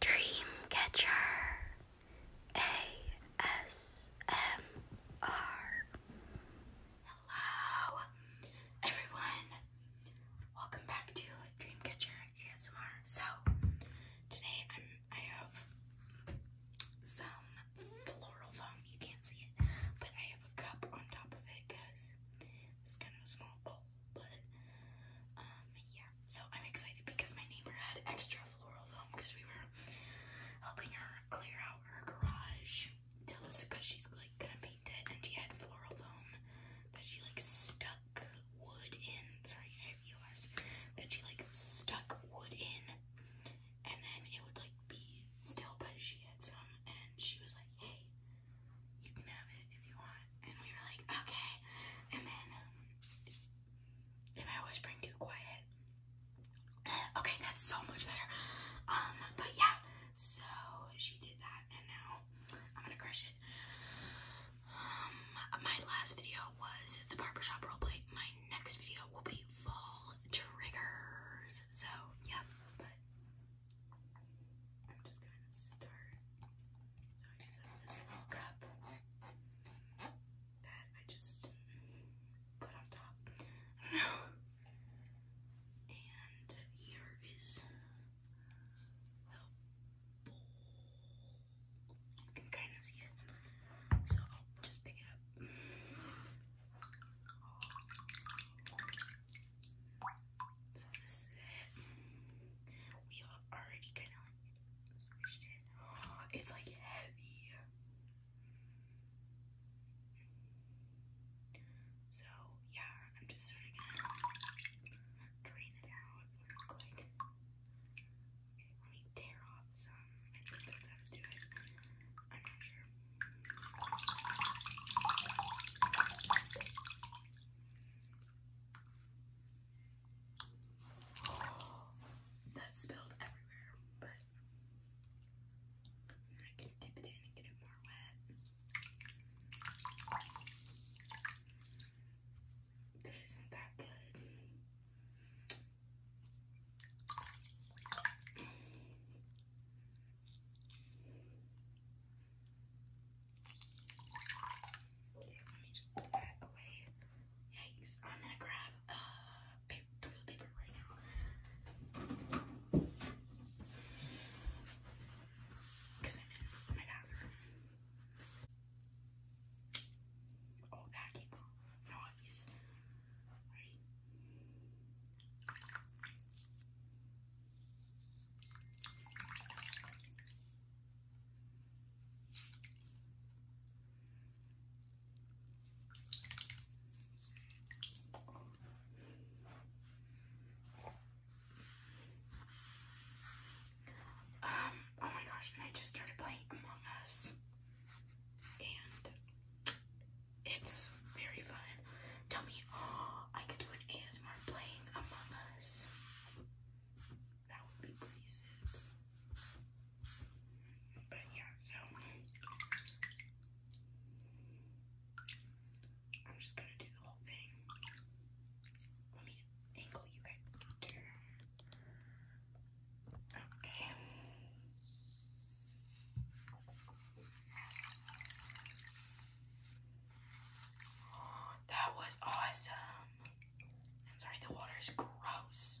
Dreamcatcher ASMR. Hello, everyone. Welcome back to Dreamcatcher ASMR. So today i have some floral foam. You can't see it, but I have a cup on top of it because it's kind of a small bowl. But um yeah, so I'm excited because my neighbor had extra floral foam because we were helping her clear out her garage to this because she's like gonna paint it and she had floral foam that she like stuck wood in sorry I have US that she like stuck wood in and then it would like be still but she had some and she was like hey you can have it if you want. And we were like, okay. And then, if I was too quiet, uh, okay, that's so much better. Um, but yeah, so she did that, and now I'm gonna crush it. Um, my last video was the barber shop barbershop play. My next video will be fall triggers. So yeah, but I'm just going to start. So I just have this little cup that I just put on top. No. And here is the You can kind of see it. So just pick it up. So this is it. We already kind of like squished it. It's like heavy. So yeah, I'm just sort to drain it out let me tear off some. Um, that's how to do it. I'm not sure. That's spilled everywhere, but I can dip it in and get it more wet. This isn't that good. Okay, let me just put that away. Yikes. I'm gonna grab uh paper, toilet paper right now. Because I'm in my bathroom. Oh, gotta keep noise. Right. Um, oh my gosh, and I just started playing Among Us. And it's very fun. Tell me, oh, I could do an ASMR playing Among Us. That would be pretty sick. But yeah, so. I'm just gonna do the whole thing. Let me angle you guys down. Okay. Oh, that was awesome. I'm sorry, the water is gross.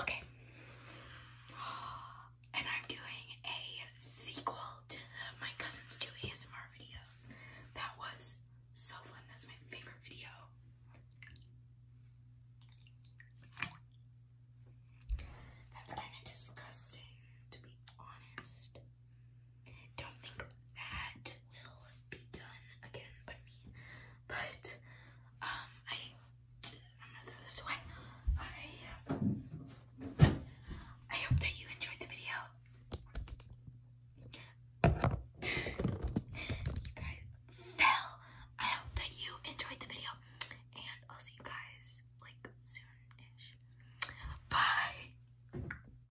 Okay. And I'm doing a sequel to My Cousins Do ASMR video. That was so fun. That's my favorite video. That's kind of disgusting, to be honest don't think that will be done again by me. But um, I i hope that you enjoyed the video. you guys fell. I hope that you enjoyed the video, and I'll see you guys like soon Bye.